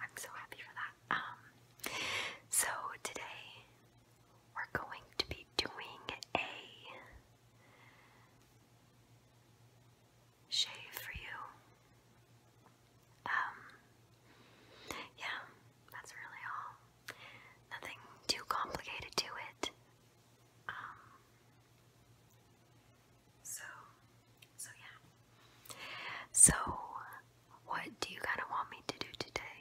I'm so happy for that. Um, so today we're going to be doing a shave for you. Um, yeah, that's really all. Nothing too complicated to it. Um, so, so yeah. So, what do you kind of want me to do today?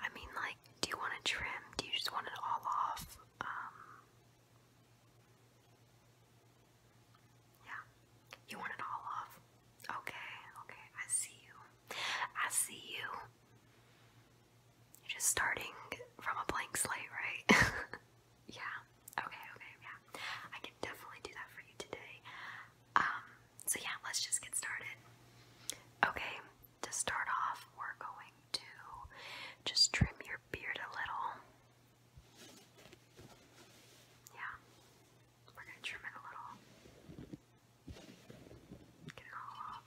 I mean, like, do you want to trim? Do you just want it all off? Um, yeah. You want it all off? Okay, okay, I see you. I see you. You're just starting from a blank slate, right? Yeah. Okay, okay, yeah. I can definitely do that for you today. Um, so yeah, let's just get started. Okay, to start off, we're going to just trim your beard a little. Yeah. We're gonna trim it a little. Get it all off.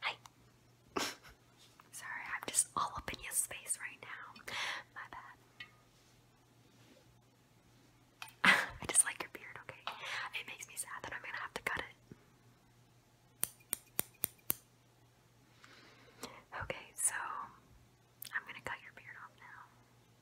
Hi. Sorry, I'm just all up in your space right now. My bad. I just like your beard, okay? It makes me sad that I'm gonna have to cut it. Okay, so I'm gonna cut your beard off now.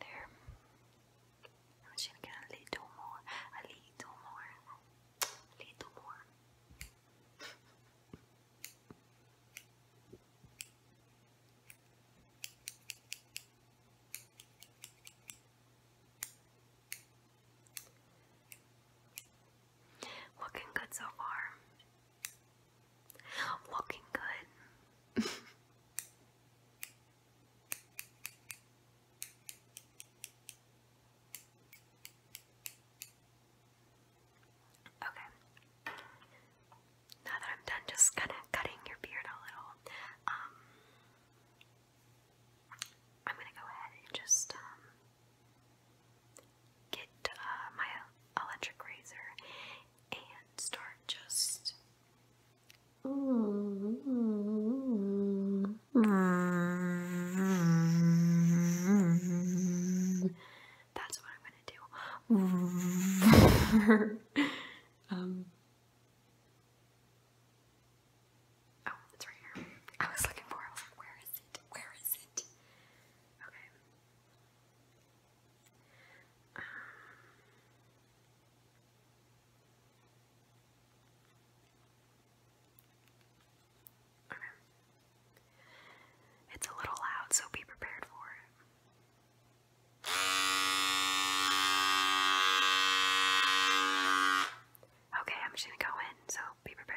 There. I'm just gonna a little more, a little more, a little more. Looking good so far. Looking good. okay. Now that I'm done just kind of cutting your beard a little, um, I'm gonna go ahead and just um, get uh, my electric razor and start just. That's what I'm gonna do. Um, Oh, it's right here. I was looking for I was like, where is it? Where is it? Okay. Um, okay. It's a little loud, so be prepared for it. Okay, I'm just gonna go in, so be prepared.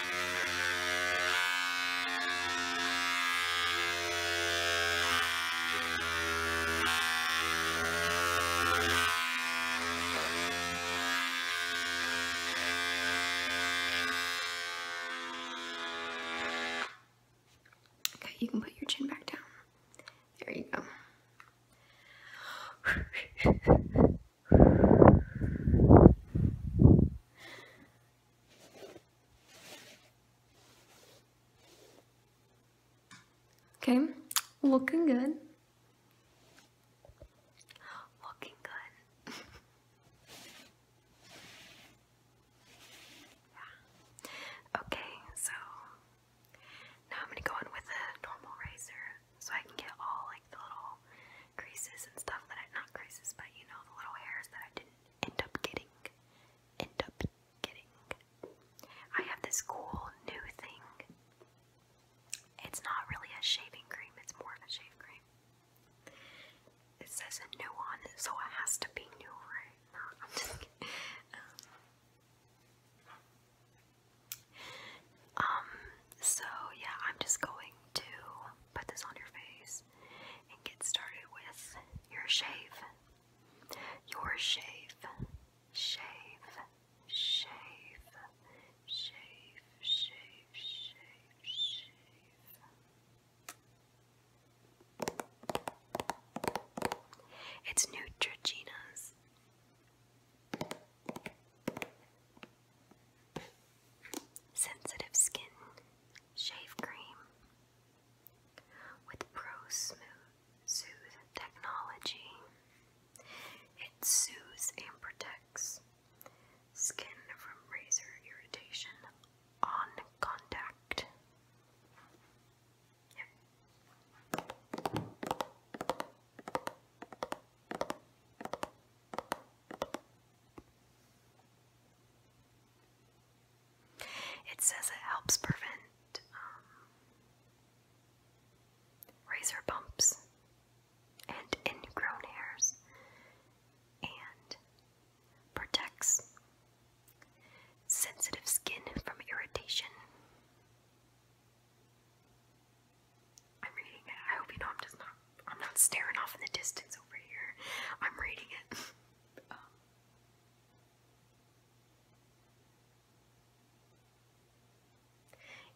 Okay, you can put your chin back down. There you go. Okay, looking good. Looking good. Okay, so now I'm gonna go in with a normal razor so I can get all like the little creases and stuff that I not creases, but you know the little hairs that I didn't end up getting. End up getting. I have this cool new thing. It's not really a shaving cream, it's more of a shaving cream. It says a new on it, so it has to be new, right? Um, so yeah, I'm just going to put this on your face and get started with your shave. Your shave, shave, shave, shave, shave, shave, shave. It's Neutrogena's. Sensitive Skin Shave Cream with Pro Smooth Soothe Technology. It soothes and protects skin from razor irritation on contact. Yep. It says it helps prevent um, razor bumps and ingrown hairs and protects sensitive skin from irritation. I'm reading it. I hope you know I'm just not I'm not staring off in the distance over here. I'm reading it. Um,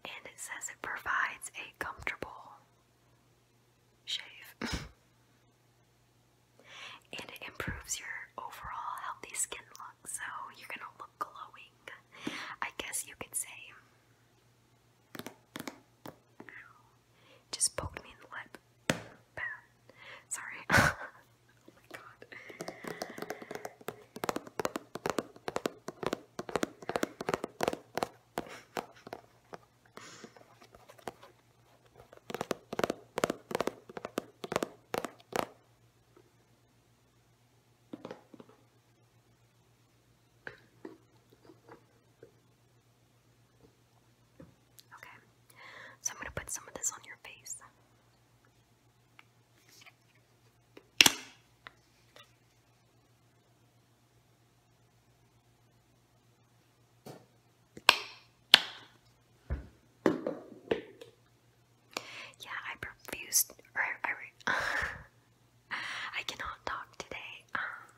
and it says it provides a comfortable shave. and it improves your overall healthy skin look, so you're gonna look glowing. I guess you could say. Just poked me in the lip. Bam. Sorry. oh my god. Okay, so I'm going to put some of this on your face. Yeah, I refused. I cannot talk today. Um,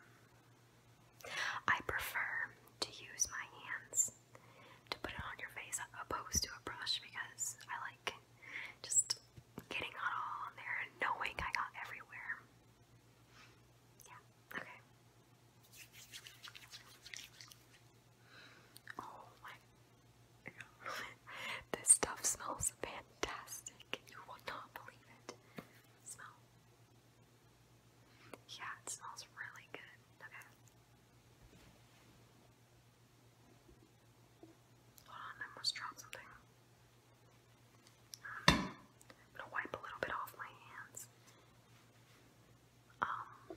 I prefer to use my hands to put it on your face opposed to a brush because I like just getting it all on there and knowing I got everywhere. Yeah, okay. Oh my god. this stuff smells fantastic. You will not believe it. Smell. Yeah, it smells really good. Okay. Hold on, I must drop something. I'm gonna wipe a little bit off my hands. Um,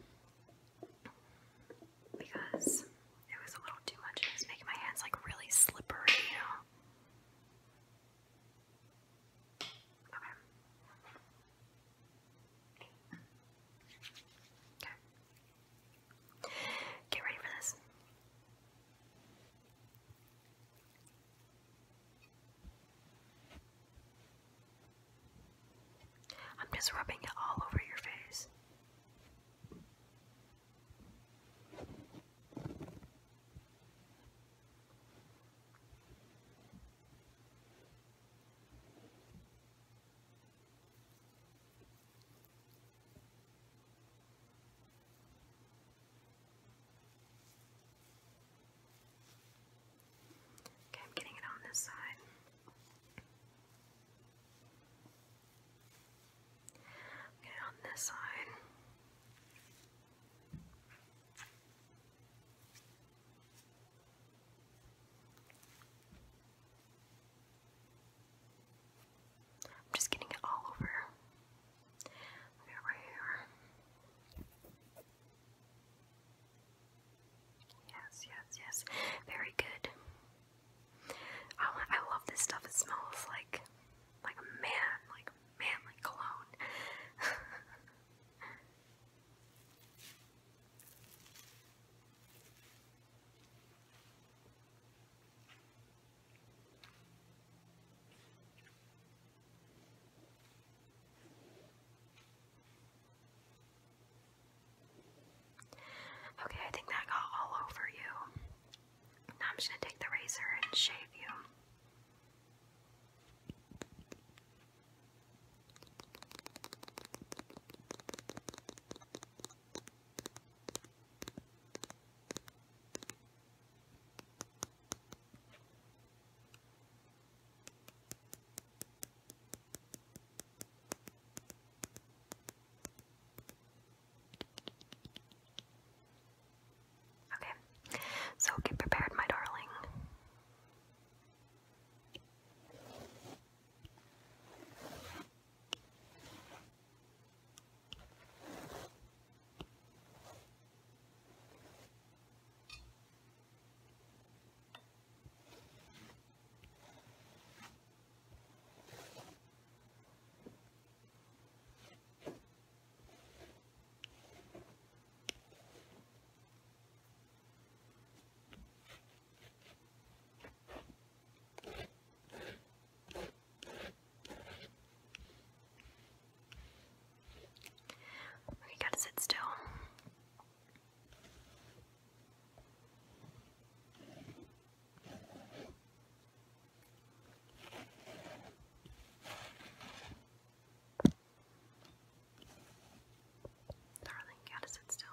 because it was a little too much. It was making my hands like really slippery, you know. Okay. Okay. Get ready for this. I'm just rubbing it all over your face. Okay, I'm getting it on this side. Okay, on this side. I'm just getting it all over. Okay, right here. Yes, yes, yes. Very good. I, want, I love this stuff. It smells like like a man, like manly cologne. Okay, I think that got all over you. I'm just going to take the razor and shave you. Okay, so get prepared, my darling. You gotta sit still. Darling, you gotta still.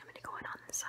I'm gonna go in on this side.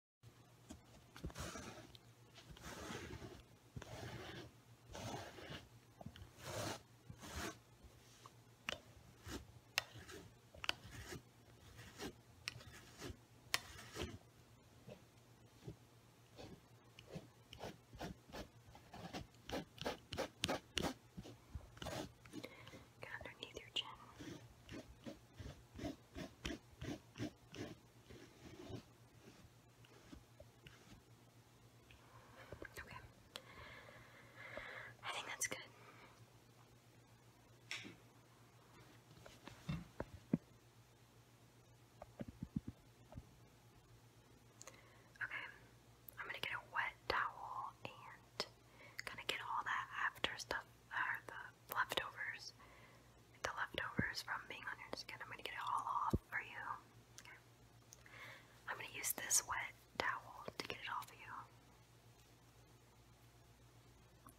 Get underneath your chin. Okay. I think that's good. Okay, I'm gonna get a wet towel and kind of get all that after stuff, leftovers. the leftovers from being on your skin. I'm gonna get it all off for you. I'm gonna use this wet towel to get it off of you.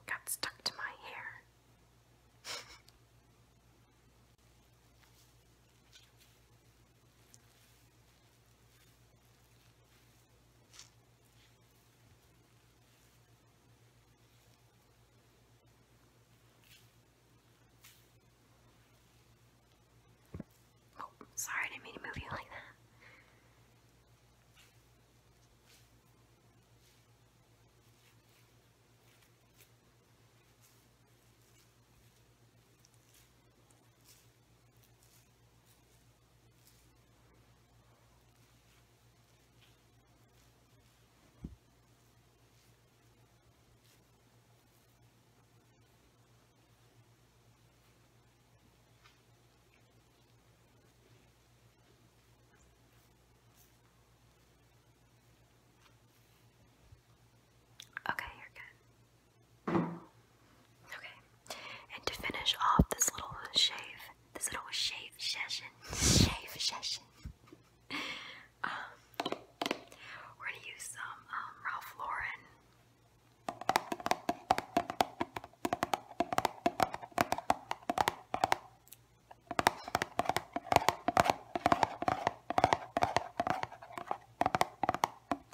Got stuck to my hair. Oh, sorry, I didn't mean to move you like that. Okay, you're good. Okay, and to finish off this little shave this little shave session. Shave session. Um, we're gonna use some um, Ralph Lauren.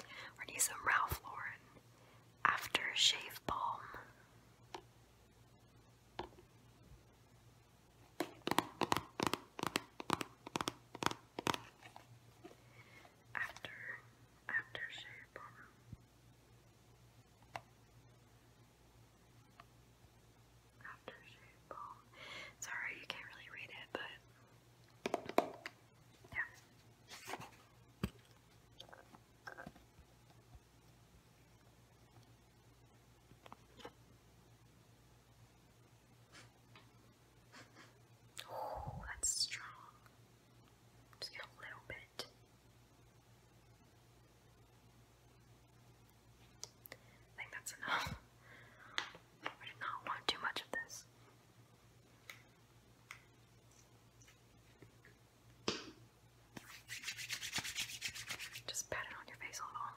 We're gonna use some Ralph Lauren after balm. After, after shave bar. After shave ball. Sorry, you can't really read it, but yeah. Oh, that's strong. Just get a little bit. I think that's enough. I did not want too much of this. Just pat it on your face a little.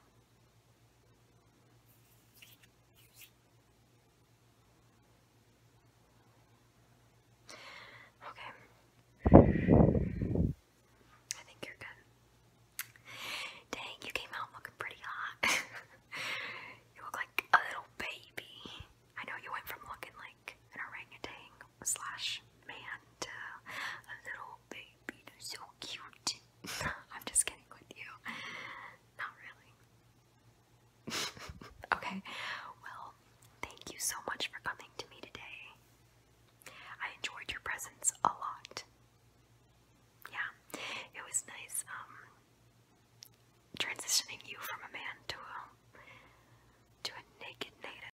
Okay. I think you're good. Dang, you came out looking pretty hot. you look like a little baby. I know you went from looking like an orangutan slash man to a little baby. so cute. I'm just kidding with you. Not really. okay, well, thank you so much for coming to me today. I enjoyed your presence a lot. Yeah, it was nice um, transitioning you from a man to a to a naked native.